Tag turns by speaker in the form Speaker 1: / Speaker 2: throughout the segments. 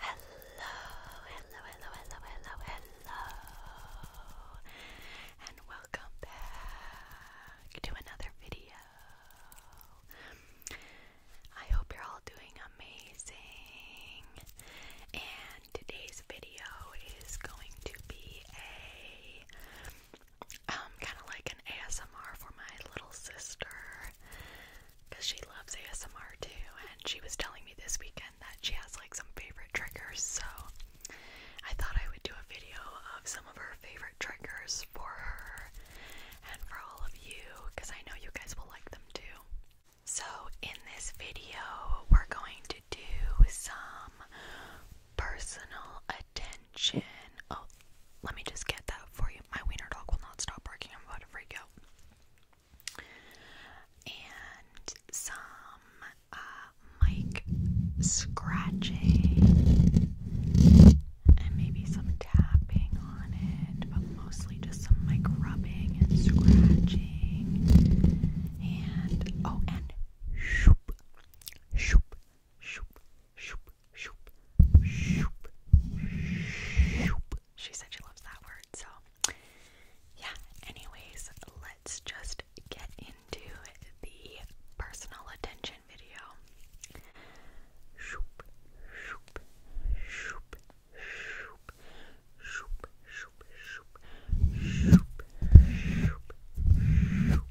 Speaker 1: Hello, hello, hello, hello, hello, hello, and welcome back to another video. I hope you're all doing amazing, and today's video is going to be a um, kind of like an ASMR for my little sister because she loves ASMR too, and she was telling me this weekend that she has like some favorite triggers. So I thought I would do a video of some of her favorite triggers for her and for all of you, because I know you guys will like them too. So in this video, we're going to do some personal attention. Oh, let me just get that for you. My wiener dog will not stop barking. I'm about to freak out. And some uh, mic scratching and maybe some tapping on it, but mostly just some mic rubbing and scratching. And oh, and shoop, shoop, shoop, shoop, shoop, shoop, shoop. She said she loves that word, so yeah. Anyways, let's just get into the personal attention video. Shoop, shoop, shoop, shoop, shoop, shoop, shoop, shoop, shoop, shoop.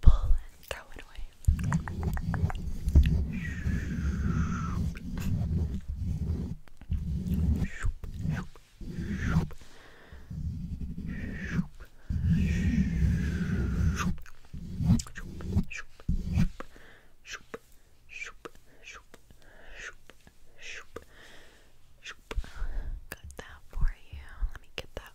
Speaker 1: pull and throw it away. Pull and throw it away. Got that for you. Let me get that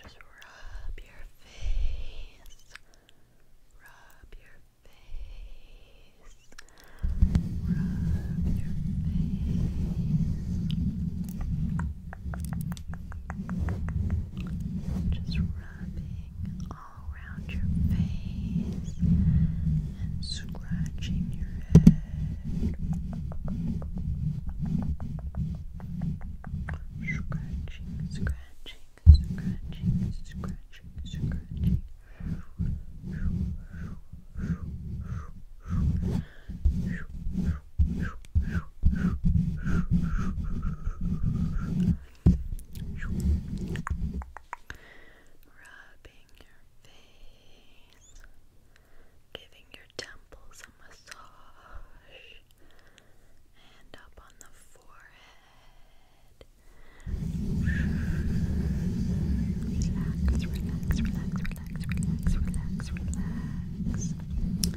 Speaker 1: Just rub your face. Rub your face. Rub your face. Just rubbing all around your face and scratching your head. Scratching, scratching, scratching, scratching, scratching. Rubbing your face giving your temples a massage, and up on the forehead. Relax, relax, relax, relax, relax, relax, relax. Relax. Relax.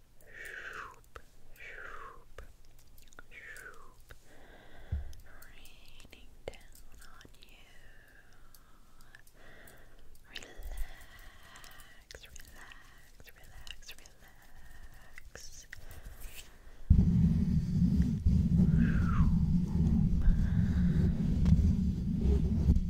Speaker 1: raining down on you. relax, relax, relax, relax, relax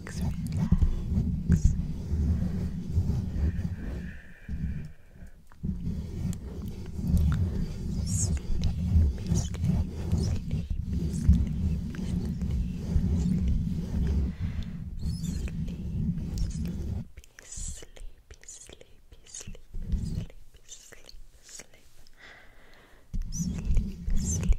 Speaker 1: relax, relax. Sleepy, sleepy, sleepy, sleepy, sleepy, sleepy, sleepy, sleepy, sleepy, sleepy, sleepy, sleep, sleep, sleep, sleep, sleep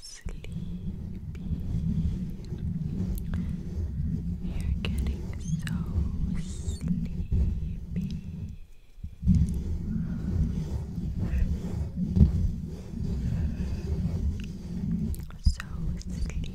Speaker 1: sleepy. You're getting so sleepy. So sleepy.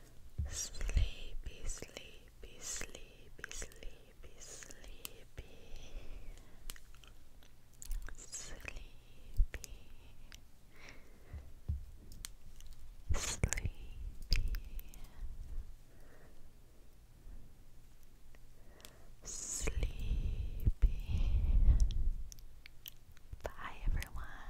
Speaker 1: sleepy, sleepy, sleepy, sleepy, sleepy, sleepy, sleepy. Sleepy. Bye, everyone.